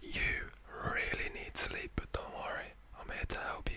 You really need sleep, but don't worry, I'm here to help you.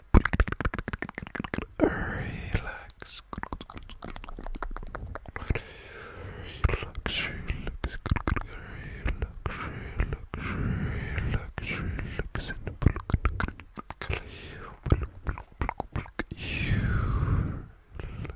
Relax. Relax, relax, relax, relax, relax, and relax, relax, relax.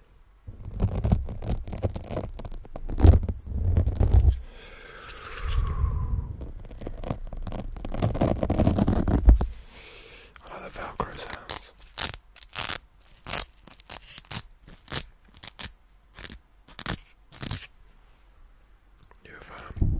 I like the Velcro sounds. You have um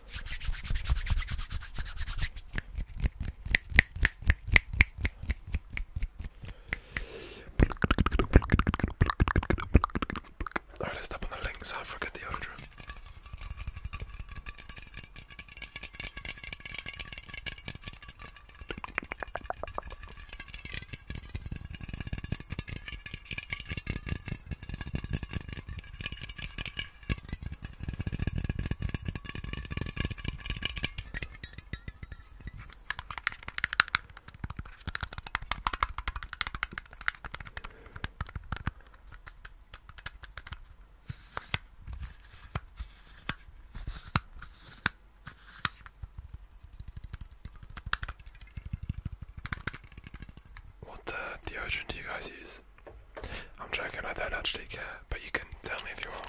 Alright, let's tap on the link so I forget the order. What uh, deodorant do you guys use? I'm joking, I don't actually care, but you can tell me if you want.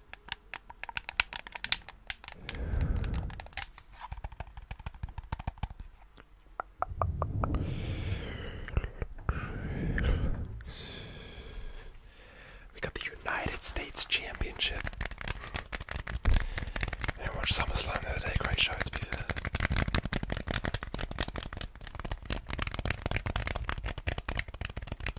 We got the United States Championship. I didn't watch the other day, great show to be fair.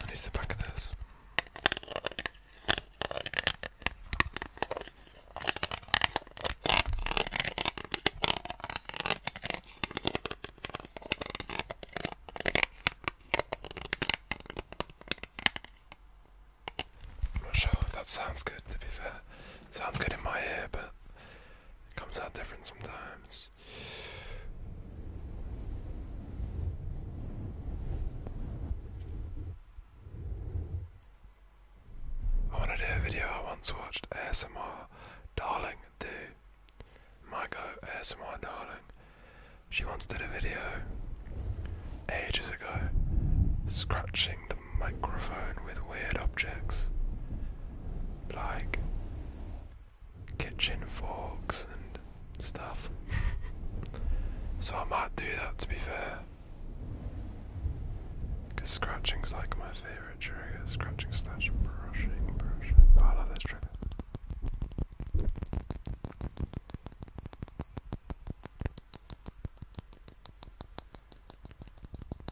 I need the back of this. i not sure if that sounds good to be fair. Sounds good in my ear, but it comes out different sometimes. I want to do a video I once watched ASMR Darling do. My go ASMR Darling. She once did a video ages ago scratching the microphone with weird objects like kitchen forks and stuff. so I might do that to be fair. scratching's like my favourite trigger. Scratching slash brushing, brushing. Oh, I trigger.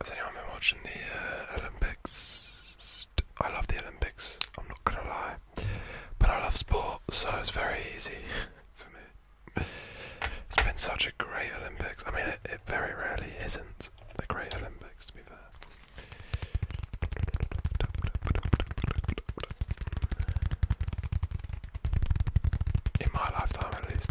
Has anyone been watching the uh, Olympics? I love the Olympics, I'm not gonna lie. But I love sport, so it's very easy for me. It's been such a great Olympics. I mean, it, very rarely isn't a great Olympics, to be fair. In my lifetime, at least.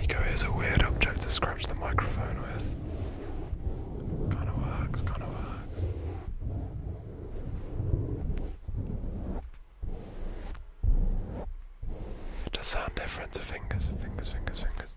Eco is a weird object to scratch the microphone with. Kinda works, kinda works. It does sound different to fingers, fingers, fingers, fingers.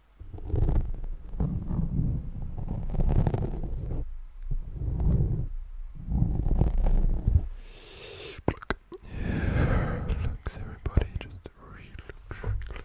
Look, relax everybody, just relax, relax.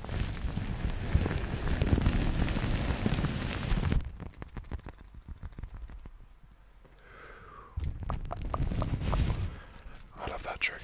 I love that trigger.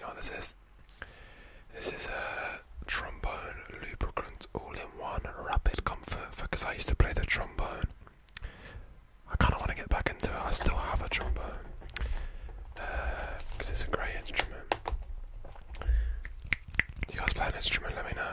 No, this is this is a trombone lubricant all-in-one rapid comfort because I used to play the trombone. I kind of want to get back into it. I still have a trombone because uh, it's a great instrument. Do you guys play an instrument? Let me know.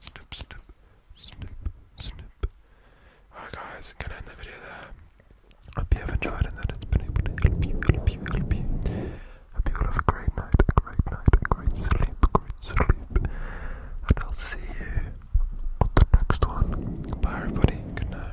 snip, snip, snip, snip. Alright guys, gonna end the video there. Hope you have enjoyed and that it's been able to help you, Hope you all have a great night, a great night, a great sleep, a great sleep. And I'll see you on the next one. Bye everybody, good night.